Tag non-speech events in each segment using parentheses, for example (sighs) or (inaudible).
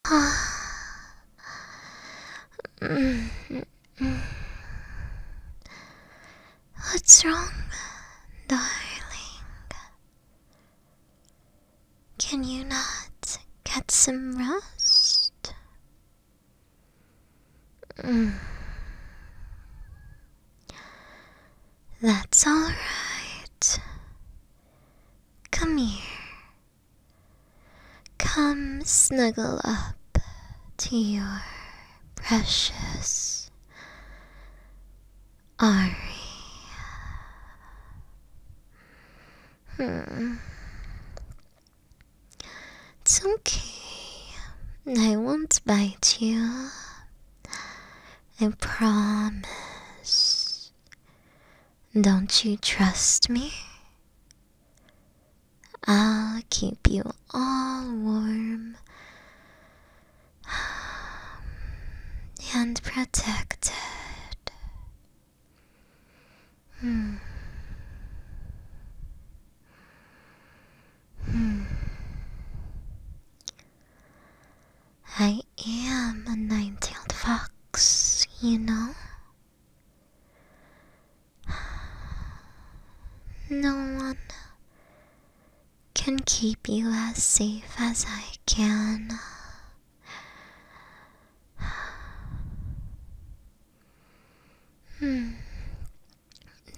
What's wrong, darling? Can you not get some rest? That's all right. Come here. Come snuggle up to your precious Ari. It's okay. I won't bite you. I promise. Don't you trust me? I'll keep you all warm and protected. Hmm. Hmm. I am a nine tailed fox, you know. (sighs) No one can keep you as safe as I can. (sighs) Hmm.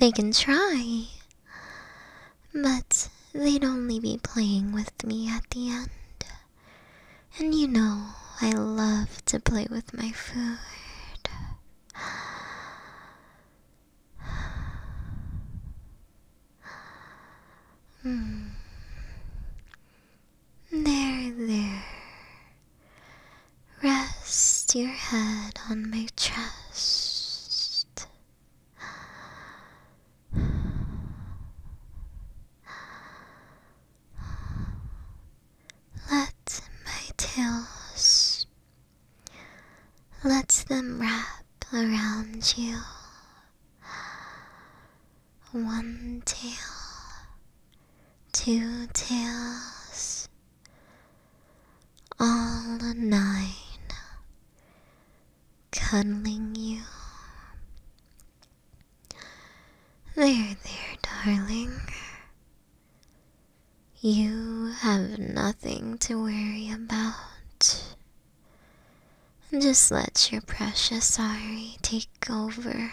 They can try, but they'd only be playing with me at the end. And you know, I love to play with my food. Hmm. There, there. Rest your head on my chest. Let my tails, let them wrap around you. One tail, two tails, all nine, cuddling you. There, there, darling. You have nothing to worry about. Just let your precious sorry take over.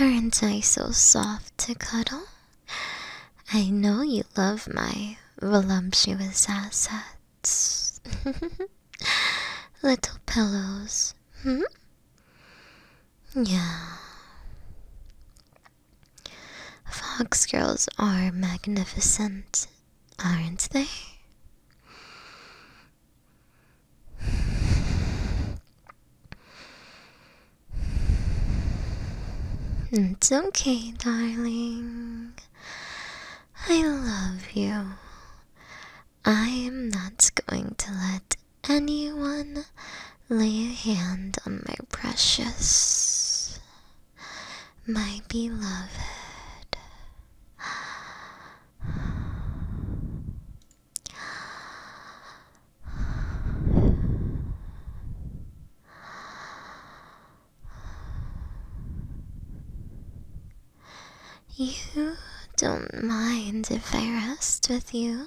Aren't I so soft to cuddle? I know you love my voluptuous assets. (laughs) Little pillows, hmm? Yeah. Fox girls are magnificent, aren't they? It's okay, darling. I love you. I am not going to let anyone lay a hand on my precious, my beloved. You don't mind if I rest with you?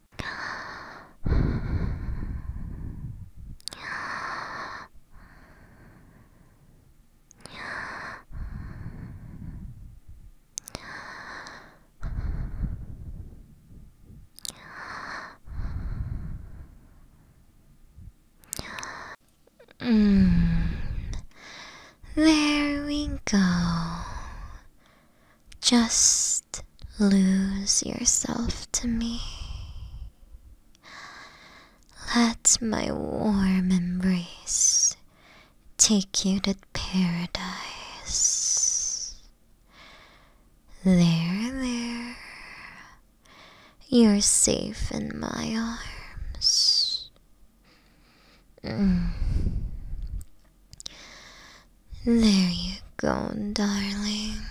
Hmm. There we go. Just lose yourself to me. Let my warm embrace take you to paradise. There, there, you're safe in my arms. Mm. There you go, darling.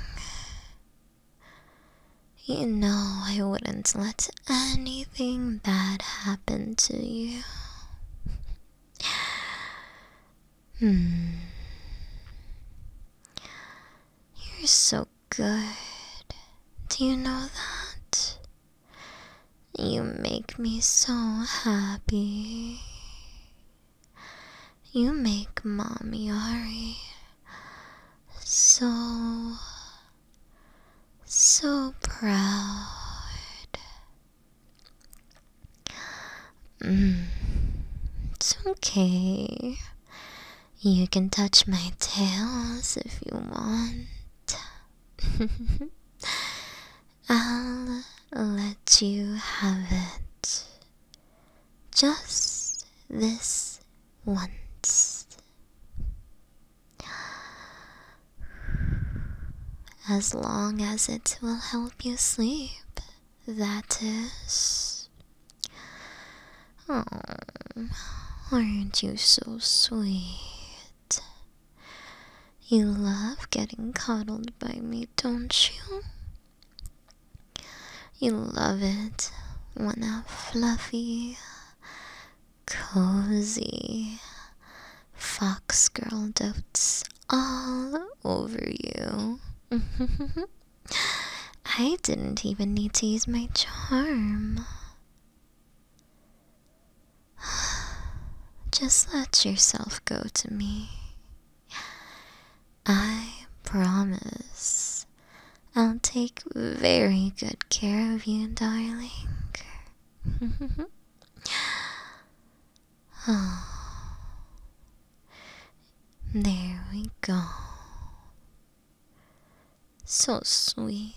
You know I wouldn't let anything bad happen to you. Hmm. You're so good. Do you know that? You make me so happy. You make Mommy Ari so, so proud. Mm, it's okay. You can touch my tails if you want. (laughs) I'll let you have it. Just this once. As long as it will help you sleep, that is. Oh, aren't you so sweet? You love getting cuddled by me, don't you? You love it when a fluffy, cozy fox girl dotes all over you. (laughs) I didn't even need to use my charm. (sighs) Just let yourself go to me. I promise I'll take very good care of you, darling. (laughs) oh. There we go. So sweet.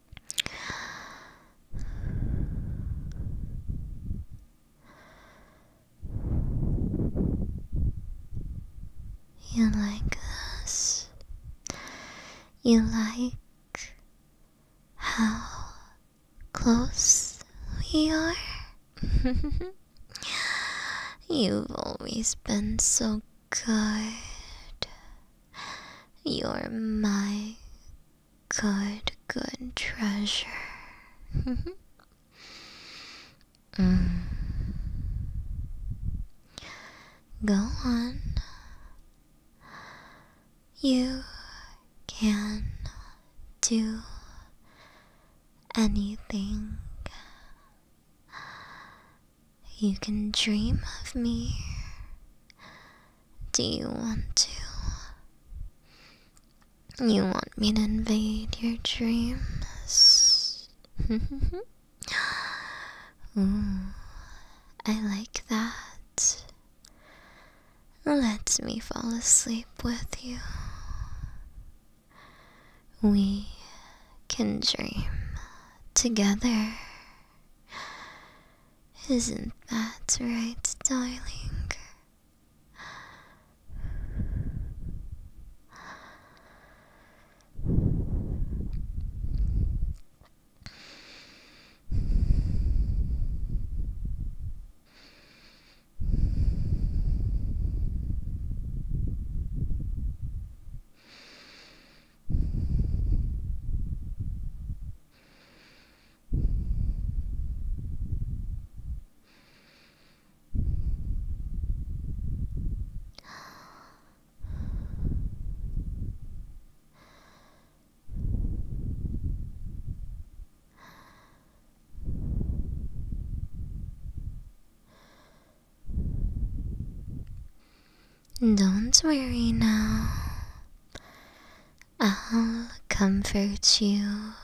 You like us. You like how close we are. (laughs) You've always been so good. You're my Good, good treasure. (laughs) mm. Go on. You can do anything. You can dream of me. Do you want to? You want me to invade your dreams? (laughs) Ooh, I like that. Let me fall asleep with you. We can dream together. Isn't that right, darling? Don't worry now. I'll comfort you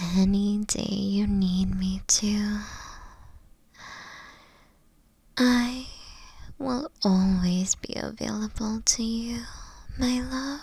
any day you need me to. I will always be available to you, my love.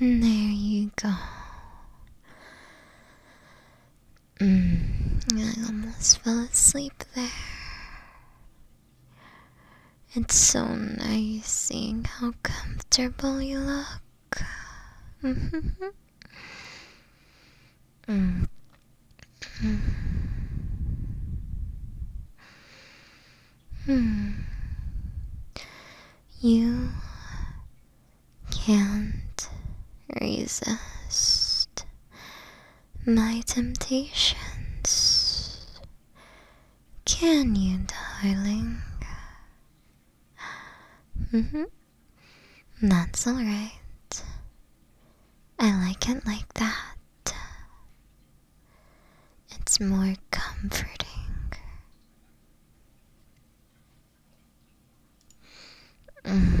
There you go. Mm, I almost fell asleep there. It's so nice seeing how comfortable you look. (laughs) Mm. Hmm. You can't resist my temptations, can you, darling? Mm-hmm. That's alright. I like it like that. It's more comforting. Mm.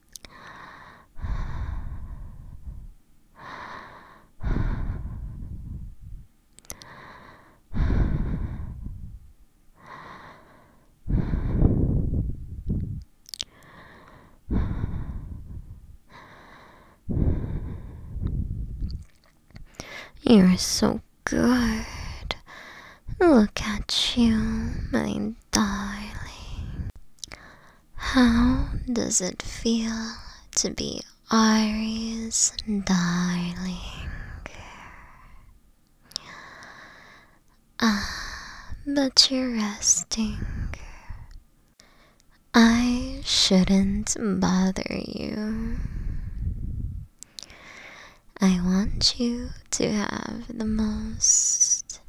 You're so good. Look at you, my darling. How does it feel to be Iris, darling? Ah, but you're resting. I shouldn't bother you. I want you to have the most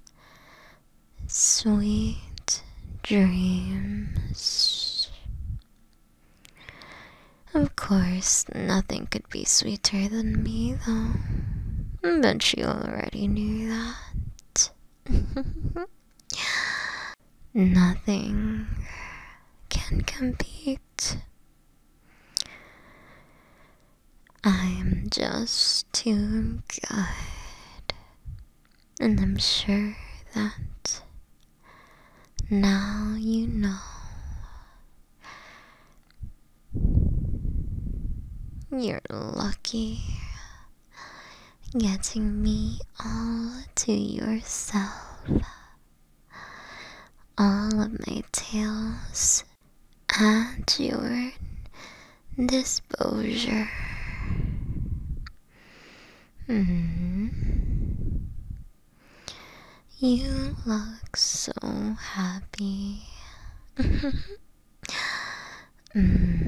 sweet dreams. Of course, nothing could be sweeter than me, though. But she already knew that. (laughs) nothing can compete. I'm just too good. And I'm sure that now you know you're lucky getting me all to yourself. All of my tales at your disposure. -hmm. You look so happy. mm.